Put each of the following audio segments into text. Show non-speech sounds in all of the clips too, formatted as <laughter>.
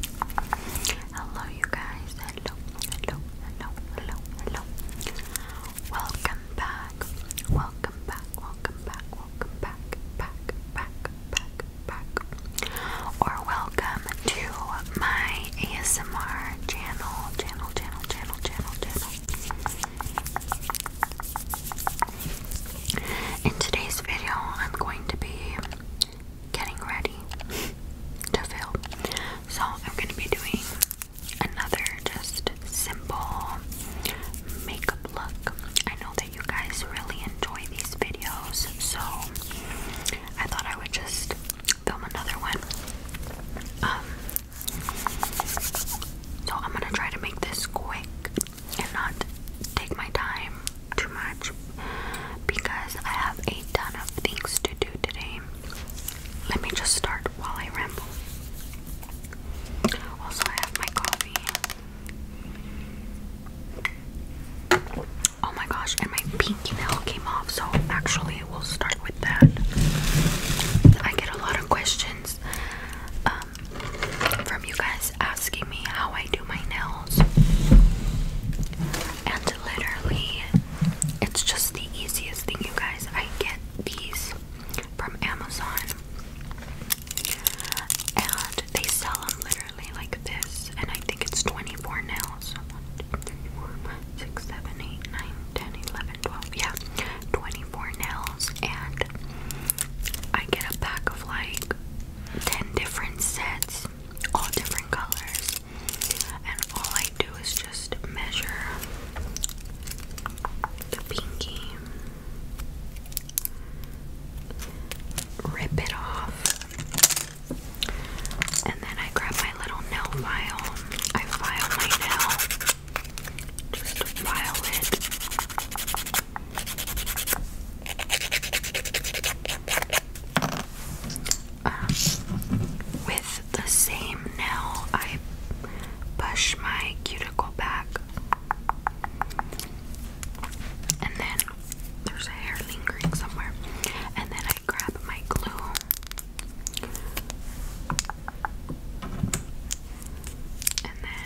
Hello, you guys. Hello, hello, hello, hello, hello. Welcome back. Welcome back. Welcome back. Welcome back. Back, back, back, back. Or welcome to my ASMR channel, channel, channel, channel, channel, channel. In today's video, I'm going to be getting ready to film. So I'm gonna be doing another just simple makeup look. I know that you guys really enjoy these videos, so I thought I would just film another one. Um, so I'm gonna try to make this quick and not take my time too much because I have a ton of things to do today. Let me just start while I ramble. Also, I have my coffee. Oh my gosh, and my pinky nail came off, so actually, we'll start with that. I get a lot of questions um, from you guys asking me how I do my nails and literally it's just the easiest thing you guys I get these from Amazon and they sell them literally like this and I think it's 24 now so 6, 7, 8, 9, 10, 11, 12 yeah 24 nails and I get a pack of like 10 different sets all different colors, and all I do is just measure the pinky, rip it off, and then I grab my little nail file. I file my nail, just to file it. Um, with the same nail, I push my cuticle back, and then there's a hair lingering somewhere, and then I grab my glue. And then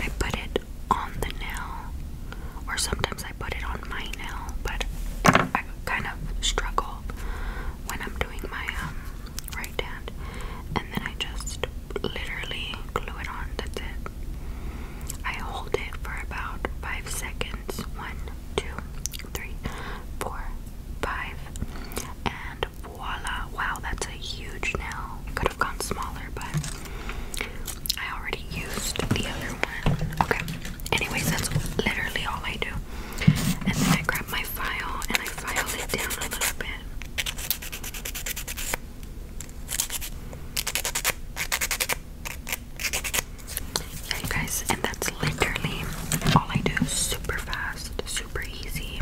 I put it on the nail, or sometimes I put it on my nail, but I kind of struggle when I'm doing my um, right hand, and then I just literally glue it on. That's it. I hold it for about five seconds. One, two, three, four, five, and voila! Wow, that's a huge nail. Could have gone smaller, but I already used the other one. Okay. Anyways, that's literally all I do. And then I grab my file and I file it down a little bit. Yeah, you guys, and that's literally all I do. Super fast, super easy.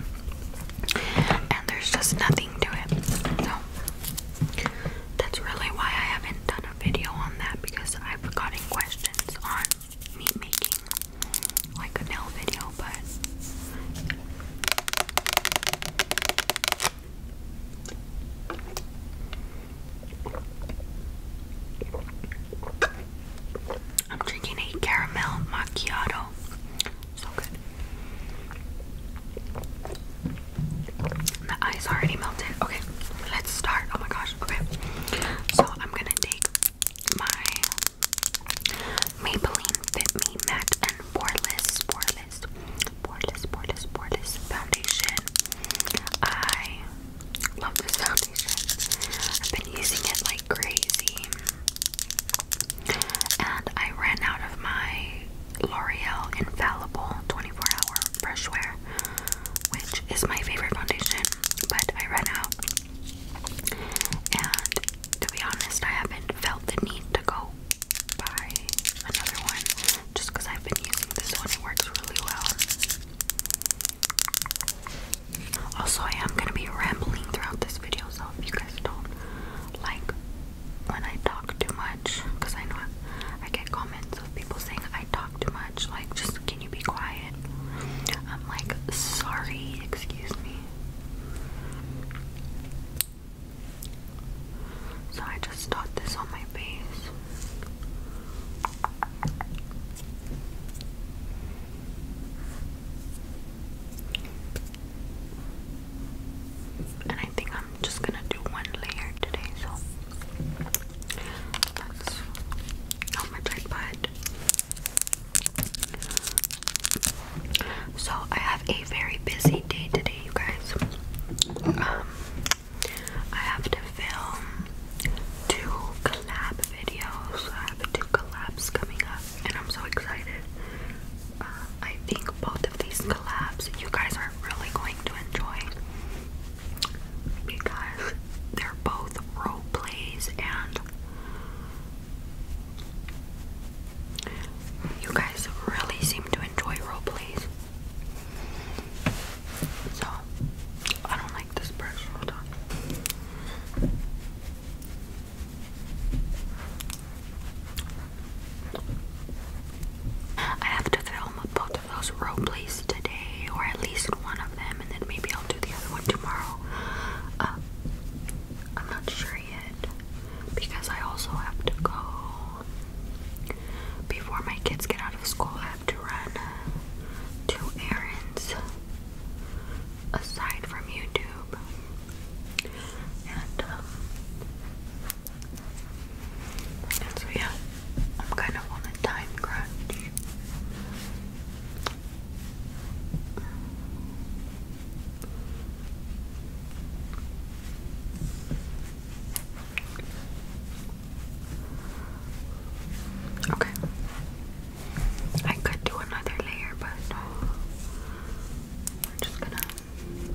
And there's just nothing to it. So that's really why I haven't done a video on that because I've gotten questions on me making like a nail video, but I'm drinking a caramel macchiato. So good. The ice already melted. Okay, let's start. Oh my gosh. Okay, so I'm gonna take my Maybelline Fit Me Matte and Poreless, Poreless, Poreless, Poreless, Poreless foundation. I love this foundation. I've been using it like crazy, and I ran out of my L'Oreal Infallible 24 Hour Freshwear, which is my favorite foundation, but I ran out. And to be honest, I haven't felt the need to go buy another one just because I've been using this one, it works really well. Also, I am going to be rambling throughout this video, so if you guys don't like when I talk too much, because I know I get comments of people saying I talk too much, like, just can you be quiet? I'm like, sorry, excuse me. So I just dot this on my face. And I think I'm just gonna do one layer today, so that's not my type, so I have a very busy day today, you guys. Um, I have to film two collab videos. I have two collabs coming up, and I'm so excited. Uh, I think both of these collabs, you guys are really going to enjoy because they're both role plays and you guys really seem to enjoy role plays. So I don't like this brush, hold on. I have to film both those role today, or at least one of them, and then maybe I'll do the other one tomorrow. Um, I'm not sure yet because I also have to go before my kids get out of school. have to run uh, two errands aside from YouTube, um, and so yeah, I'm kind of on a time crunch. Okay. I could do another layer, but we're just gonna I'm gonna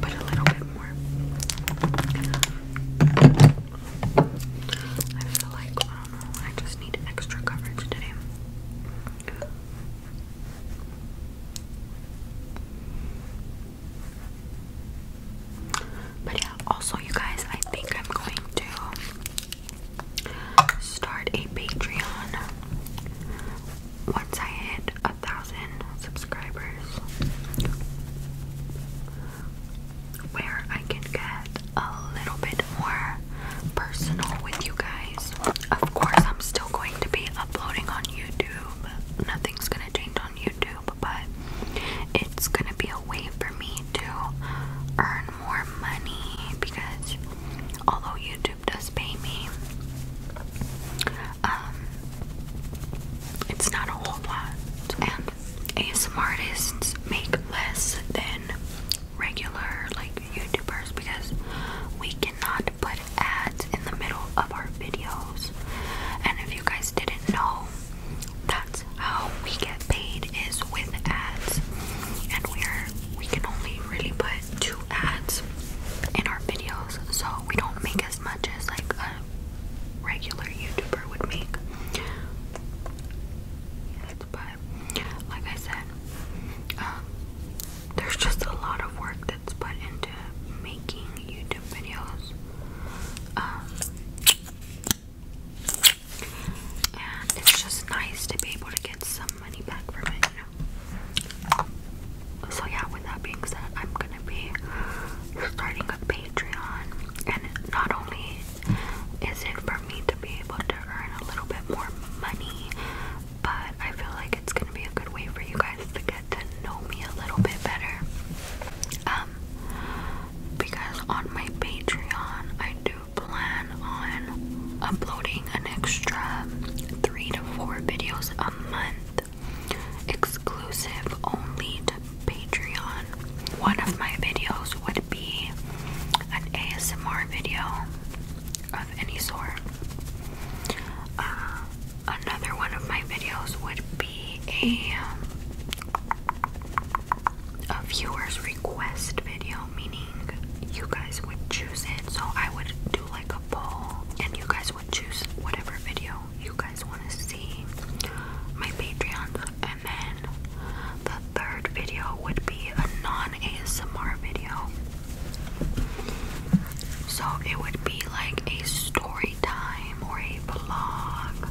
put a little bit more. I feel like um, I just need extra coverage today. But yeah, also you guys, I think I'm going to start a Patreon once I hit a thousand subscribers, where I can get a little bit more personal with you guys. Of course, I'm still going to be uploading on YouTube, nothing's gonna change on YouTube, but it's gonna be a way for me to earn more money because although YouTube does pay me, um, it's not a whole lot. And ASMR artists make less than regular like YouTubers because we cannot put ads in the middle of our videos. And if you guys didn't know, that's how we get paid is with ads. And we're we can only really put two ads in our videos, so we don't make as much as like a regular YouTuber would make. but like I said, um, there's just a lot of work that's put into making YouTube videos. Um, and it's just nice to be able to get some money back from it, So yeah, with that being said, I'm gonna be starting a Patreon, and not only is it for me to be able to earn a little bit more money, but I feel like it's gonna be a good way for you guys to get to know me a little bit better. Um, because on my Patreon, I do plan on uploading an extra three to four videos a month, exclusive only to Patreon. One of my videos would be an ASMR video of any sort. Uh, another one of my videos would be a a viewer's request video, meaning you guys would choose it. So I would do like a poll and you guys would choose whatever video you guys want to see. My Patreon, and then the third video would be a non ASMR video. So it would be like a story time or a vlog,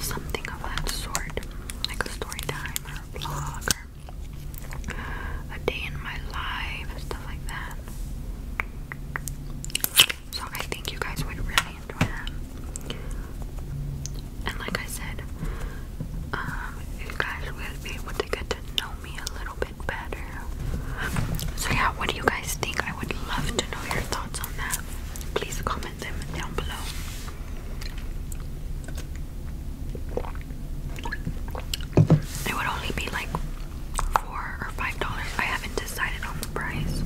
something of that sort, like a story time or a vlog a day in my life, stuff like that. So I think you guys would really enjoy that. And like I said, um, you guys will be able to get to know me a little bit better. So yeah, what do you guys think? I would love to know your thoughts on that. Please comment them down below. It would only be like four or five dollars. I haven't decided on the price,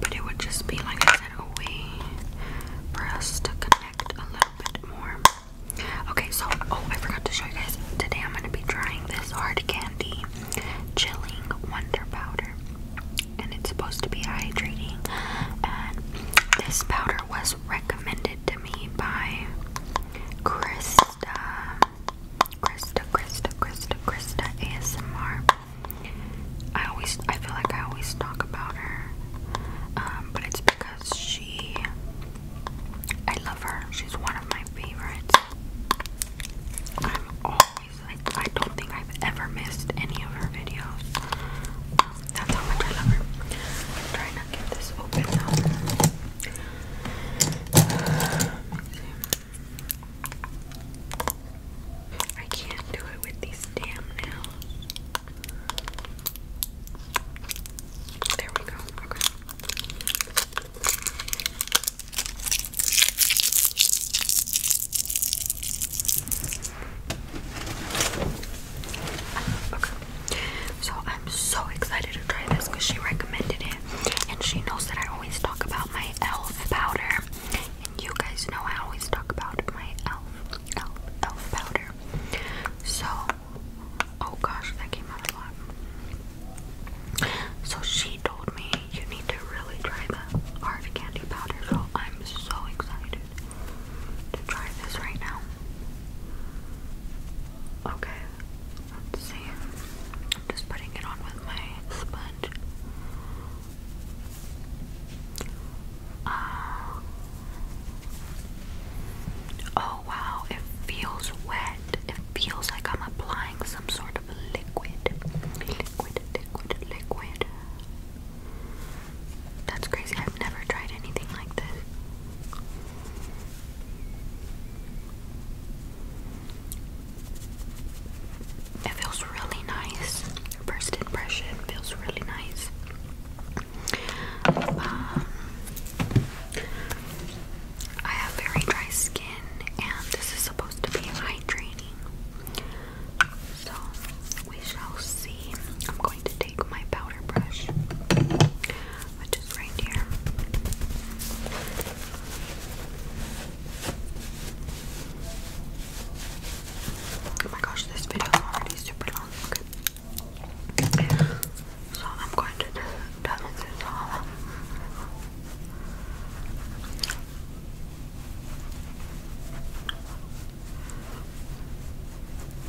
but it would just be like I said, a way for us to connect a little bit more. Okay, so oh, I forgot to show you guys. Today I'm gonna be trying this hard candy chilling wonder powder, and it's supposed to be hydrating. And this powder was recommended to me by Krista. Krista, Krista, Krista, ASMR. I always, I feel like I always talk about her, um, but it's because she, I love her. She's one of my favorites. I'm always, I, I don't think I've ever missed any of her videos. That's how much I love her. I'm trying to get this open now. I can't do it with these damn nails. There we go. Okay. Okay. So I'm so excited to try this because she recommended it. And she knows that I always talk about my e.l.f. powder. And you guys know I always talk about my e.l.f. elf elf powder. So oh gosh, that came out a lot. So she told me you need to really try the art candy powder, so I'm so excited try this right now. Okay, let's see. just putting it on with my sponge. Uh, oh wow, it feels wet. It feels like I'm applying some sort of liquid. Liquid, liquid, liquid. That's crazy. I've never tried anything like this. It feels really nice. First impression feels really nice. Um, I have very dry skin, and this is supposed to be hydrating. So we shall see. I'm going to take my powder brush, which is right here. Oh my gosh, this video is already super long. So I'm going to do that all.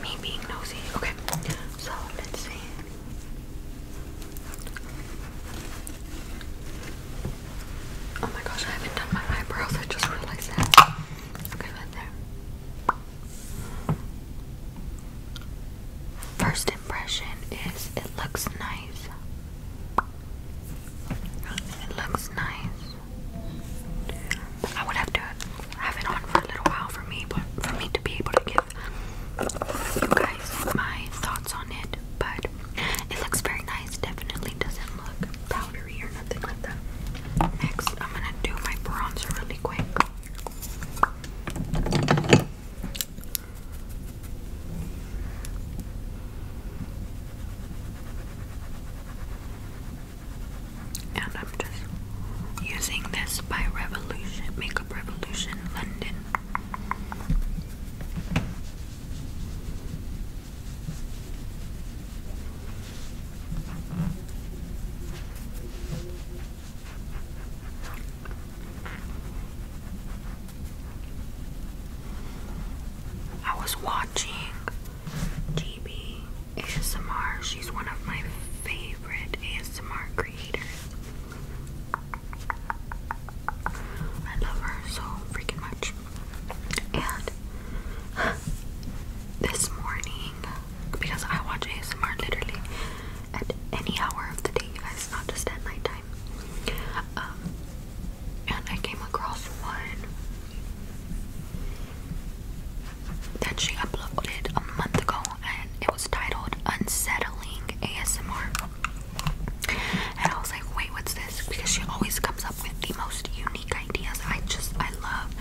Me being nosy. Okay, so let's see. Oh my gosh, I haven't done my eyebrows. I just realized that. Okay, right there. First impression is it looks nice. It looks nice. I would have to have it on for a little while for me, but for me to be able to give you guys my thoughts on it. But it looks very nice. Definitely doesn't look powdery or nothing like that. Next, I'm gonna do my bronzer really quick. And I'm just using this by Revolution, Makeup Revolution London. I was watching GB ASMR. She's one of my favorite ASMR creators. I love her so freaking much. And this morning, because I watch ASMR literally at any hour of the day, you guys, not just at nighttime. Um, and I came across one that she uploaded a month ago, and it was titled Unsettling ASMR. And I was like, wait, what's this? Because she always comes up with the most unique ideas. I just, I love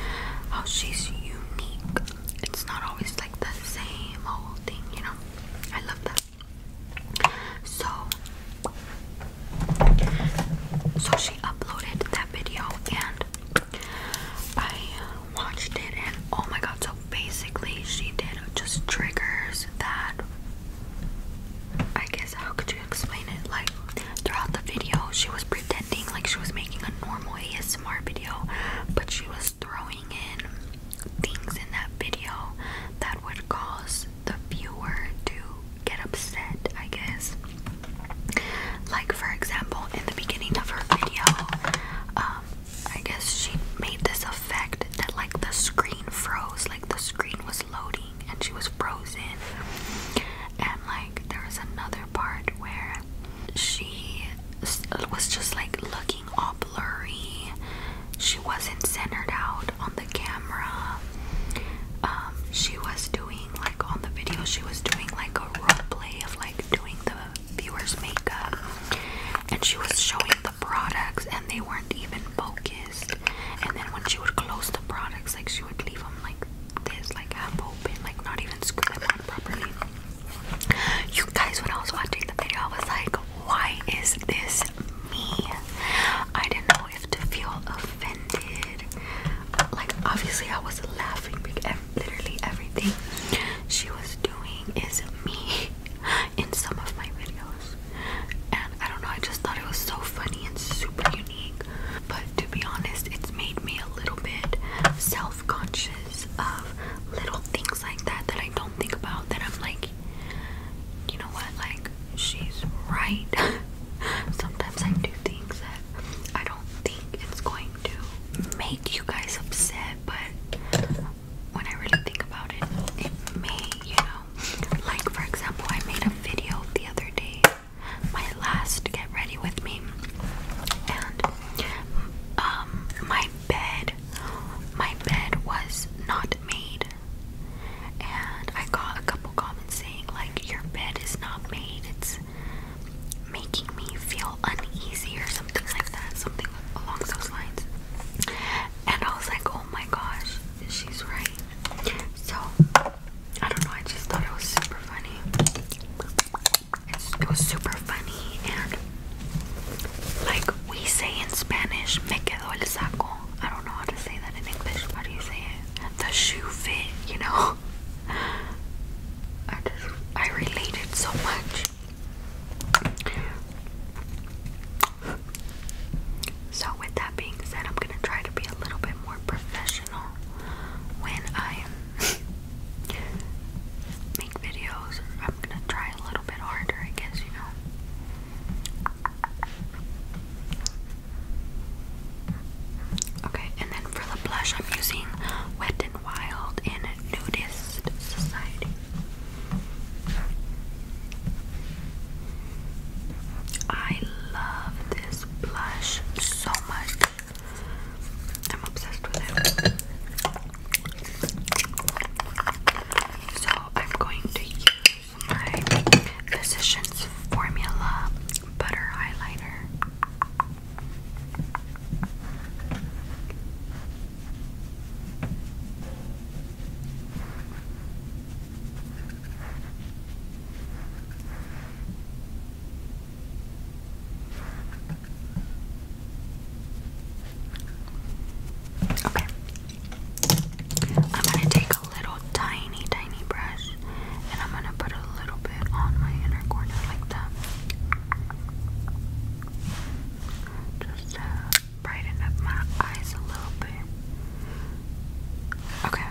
how she's unique it's not always like the same old thing, you know. I love that. So, so she uploaded that video and I watched it, and oh my god! So basically, she did just triggers that. I guess how could you explain it? Like throughout the video, she was pretending like she was making a normal ASMR video, but she was throwing in things in that video that would cause the viewer to get upset, I guess. Like, for example, in the beginning of her video, um, I guess she made this effect that, like, the screen froze, like, the screen was loading and she was frozen. And, like, there was another part where she it was just like looking all blurry. She wasn't centered out on the camera. Um, she was doing like on the video, she was doing like a role play of like doing the viewer's makeup, and she was showing the products, and they weren't even focused. And then when she would close the products, like she would leave them like this, like half open, like not even screw them on properly. You guys, when I was watching the video, I was like, why is this me? I didn't know if to feel offended. Like, obviously, I was laughing because literally everything she was doing is me <laughs> in some of my videos. And I don't know, I just thought it was so funny and super unique. But to be honest, it's made me a little bit self conscious of little things like that that I don't think about that I'm like you know what like she's right <laughs> sometimes I do things that I don't think it's going to make you guys upset but when I really think about it it may you know like for example I made a video the other day my last get ready with me and um my bed. My bed was not made. And I got a couple comments saying, like, your bed is not made. It's making me feel uneasy or something like that. Something along those lines. And I was like, oh my gosh, she's right. So, I don't know, I just thought it was super funny it was super funny and like we say in Spanish, me quedó el saco. I don't know how to say that in English. How do you say The shoe fit, you know? I just, I related so much. So, with that being said, I'm gonna try to be a little bit more professional when I videos. I'm gonna try a little bit harder, I guess, you know. Okay, and then for the blush, I'm using Wet n Wild in Nudist Society. I love this blush so much. I'm obsessed with it. So I'm going to use my Physicians Formula Butter Highlighter. I'm gonna take a little tiny, tiny brush and I'm gonna put a little bit on my inner corner like that. Just to brighten up my eyes a little bit. Okay.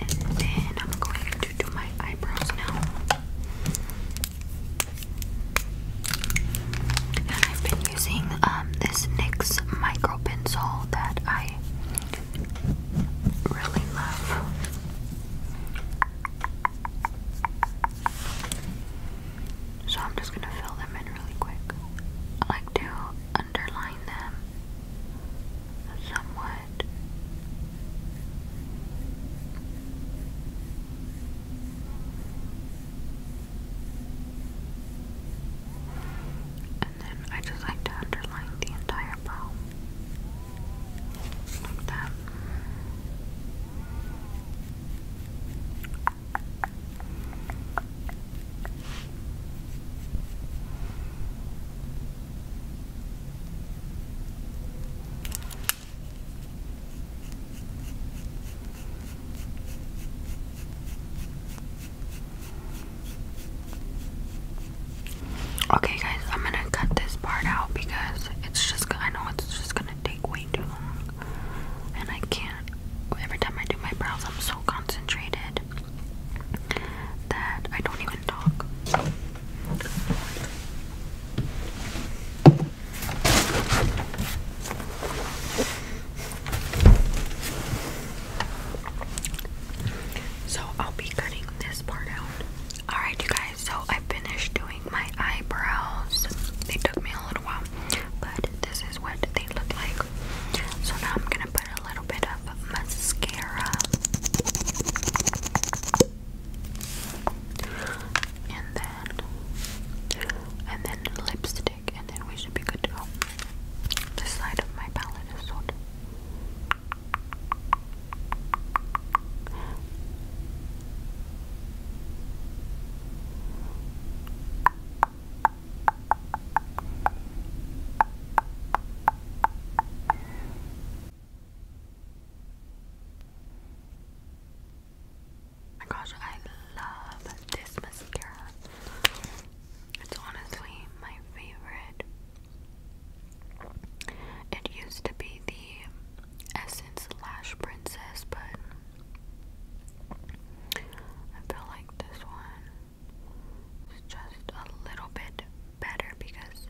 And then I'm going do my eyebrows now. And I've been using um, this NYX micro pencil that I really love. So I'm just gonna fill them in really quick. I like to underline them somewhat head. And then I just like to underline the entire brow. Like that. Okay, guys, I'm gonna cut this part out because it's just, I know it's just gonna take way too long. And I can't, every time I do my brows, I'm so concentrated that I don't even talk. So I'll be cutting this part out. Alright, you guys, so I finished doing my eyebrows. They took me a little while, but this is what they look like. So now I'm gonna put put a little bit of mascara and then and then lipstick and then we should be good to go. The side of my palette is sold my gosh, I love this mascara. It's honestly my favorite. It used to be the Essence Lash Princess, but I feel like this one is just a little bit better because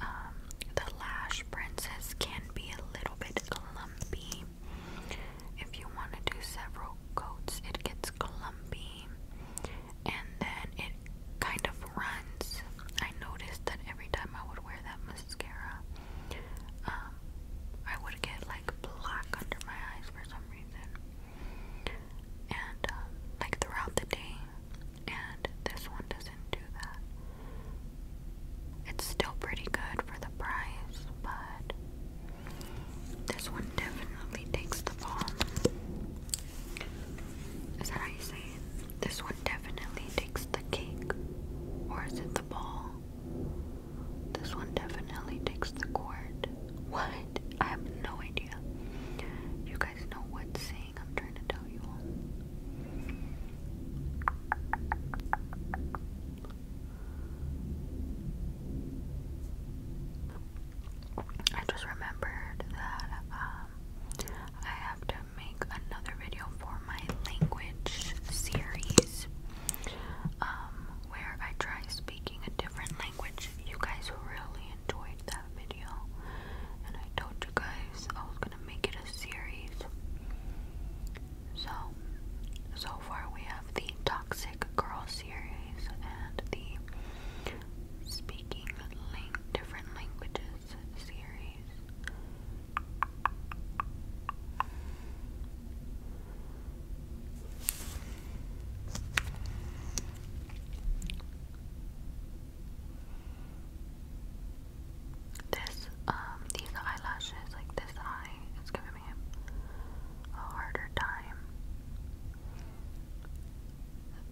um, the lash princess can be a little bit clumpy. If you want to do several coats, it gets clumpy and then it kind of runs. I noticed that every time I would wear that mascara, um, I would get like black under my eyes for some reason. And um, like throughout the day, and this one doesn't do that. It's still pretty good for the price, but this one definitely takes the fall. Is that how you say it? This one definitely takes the cake. Or is it the ball? This one definitely takes the court. What? I have no idea. You guys know what saying I'm trying to tell you all. I just remembered that um, I have to make another video for my language series um, where I try speaking a different language. You guys really enjoyed that video. And I told you guys I was gonna make it a series. So, so far we have the Toxic Girl series and the Speaking lang Different Languages series. This, um, these eyelashes, like this eye, is giving me a harder time.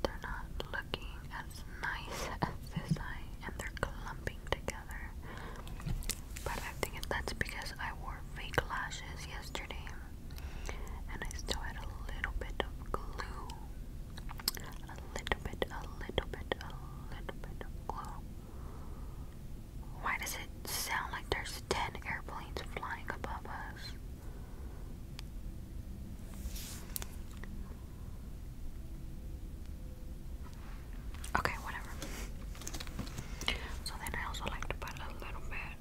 They're not looking as nice <laughs> as this eye, and they're clumping together. But I think that's because I wore fake lashes yesterday, and I still had a little bit of glue a little bit, a little bit, a little bit. Why does it sound like there's 10 airplanes flying above us? Okay, whatever. So then I also like to put a little bit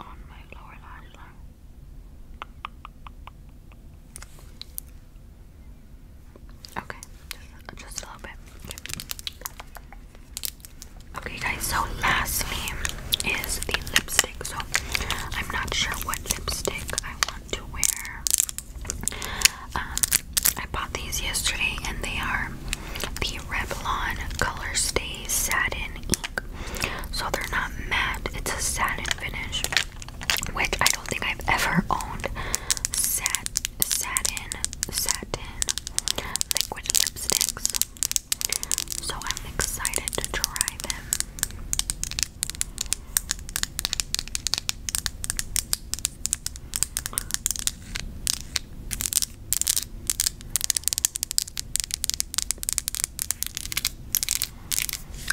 on my lower lash line. Okay, just, just a little bit. Okay. guys, so lastly is the lipstick. So I'm not sure what lipstick I want to wear. Um, I bought these yesterday and they are the Revlon Color Stay Satin Ink so they're not matte. It's a satin finish, which I don't think I've ever owned. Sat satin satin liquid lipsticks. So I'm excited to try them.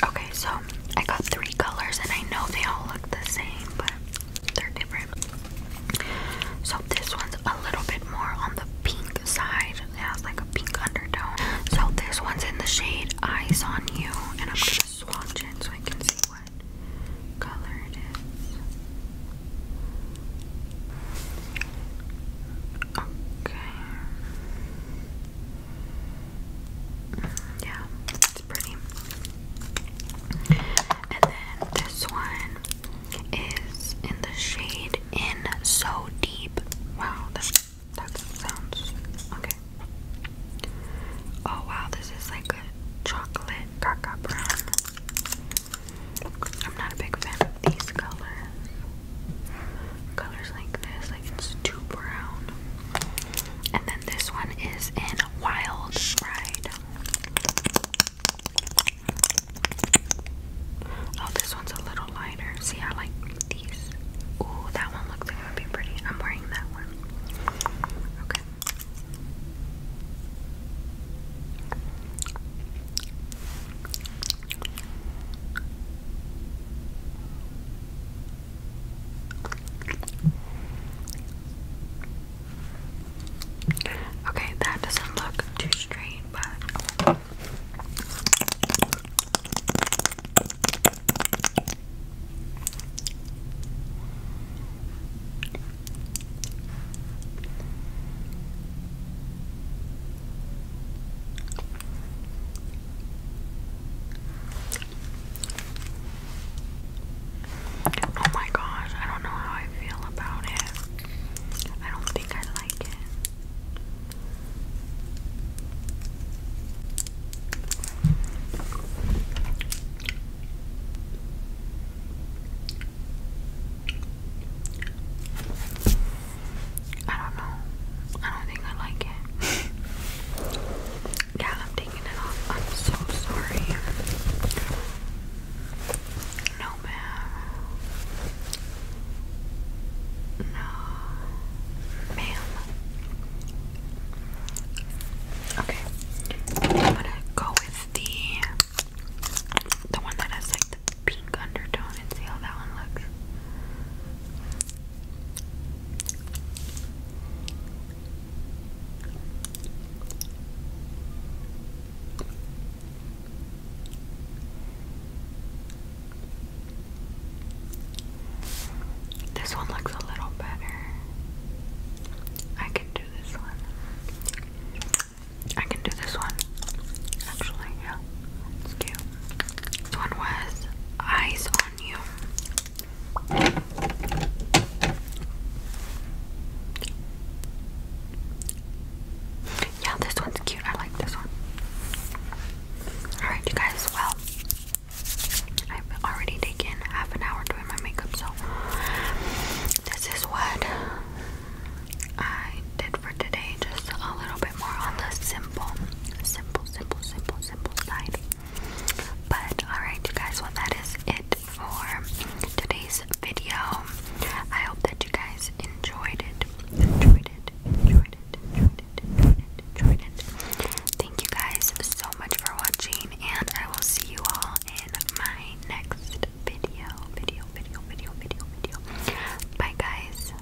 Okay, so I got three colors, and I know they all look the same, but they're different. So this one's a little bit more on the pink side. It has like a pink undertone. So this one's in the shade Eyes on You, and I'm gonna swatch it so I can see what color it is. Okay. Yeah, it's pretty. And then this one is in the shade In So Deep. Wow, that, sounds okay. Oh wow, this is like a chocolate caca brown. I'm not a big fan of these colors. Colors like this it's too brown. And then this one is in Wild Ride. Oh, this one's a little lighter. See, I like these. Ooh, that one looks like it would be pretty. I'm wearing that one. Okay. Okay, that doesn't look too straight, but Oh my gosh, I don't know how I feel about it. I don't think I like it. I don't know. I don't think I like it. <laughs> yeah, I'm taking it off. I'm so sorry. No, ma'am. No, ma'am. Okay, I'm gonna go with the the one that has like the pink undertone and see how that one looks. This one looks a little better. I can do this one. I can do this one. Actually, yeah. It's cute. This one was Eyes on You. Yeah, this one's cute. I like this one. Alright, you guys, well, I've already taken half an hour doing my makeup, so this is what I did side for today, just a little bit more on the simple, simple, simple, simple, simple side. But alright, you guys, well, that is it for today's video. I hope that you guys enjoyed it. Enjoyed it, enjoyed it, enjoyed it, enjoyed it, enjoyed it. Thank you guys so much for watching, and I will see you all in my next video. Video, video, video, video, video. Bye, guys.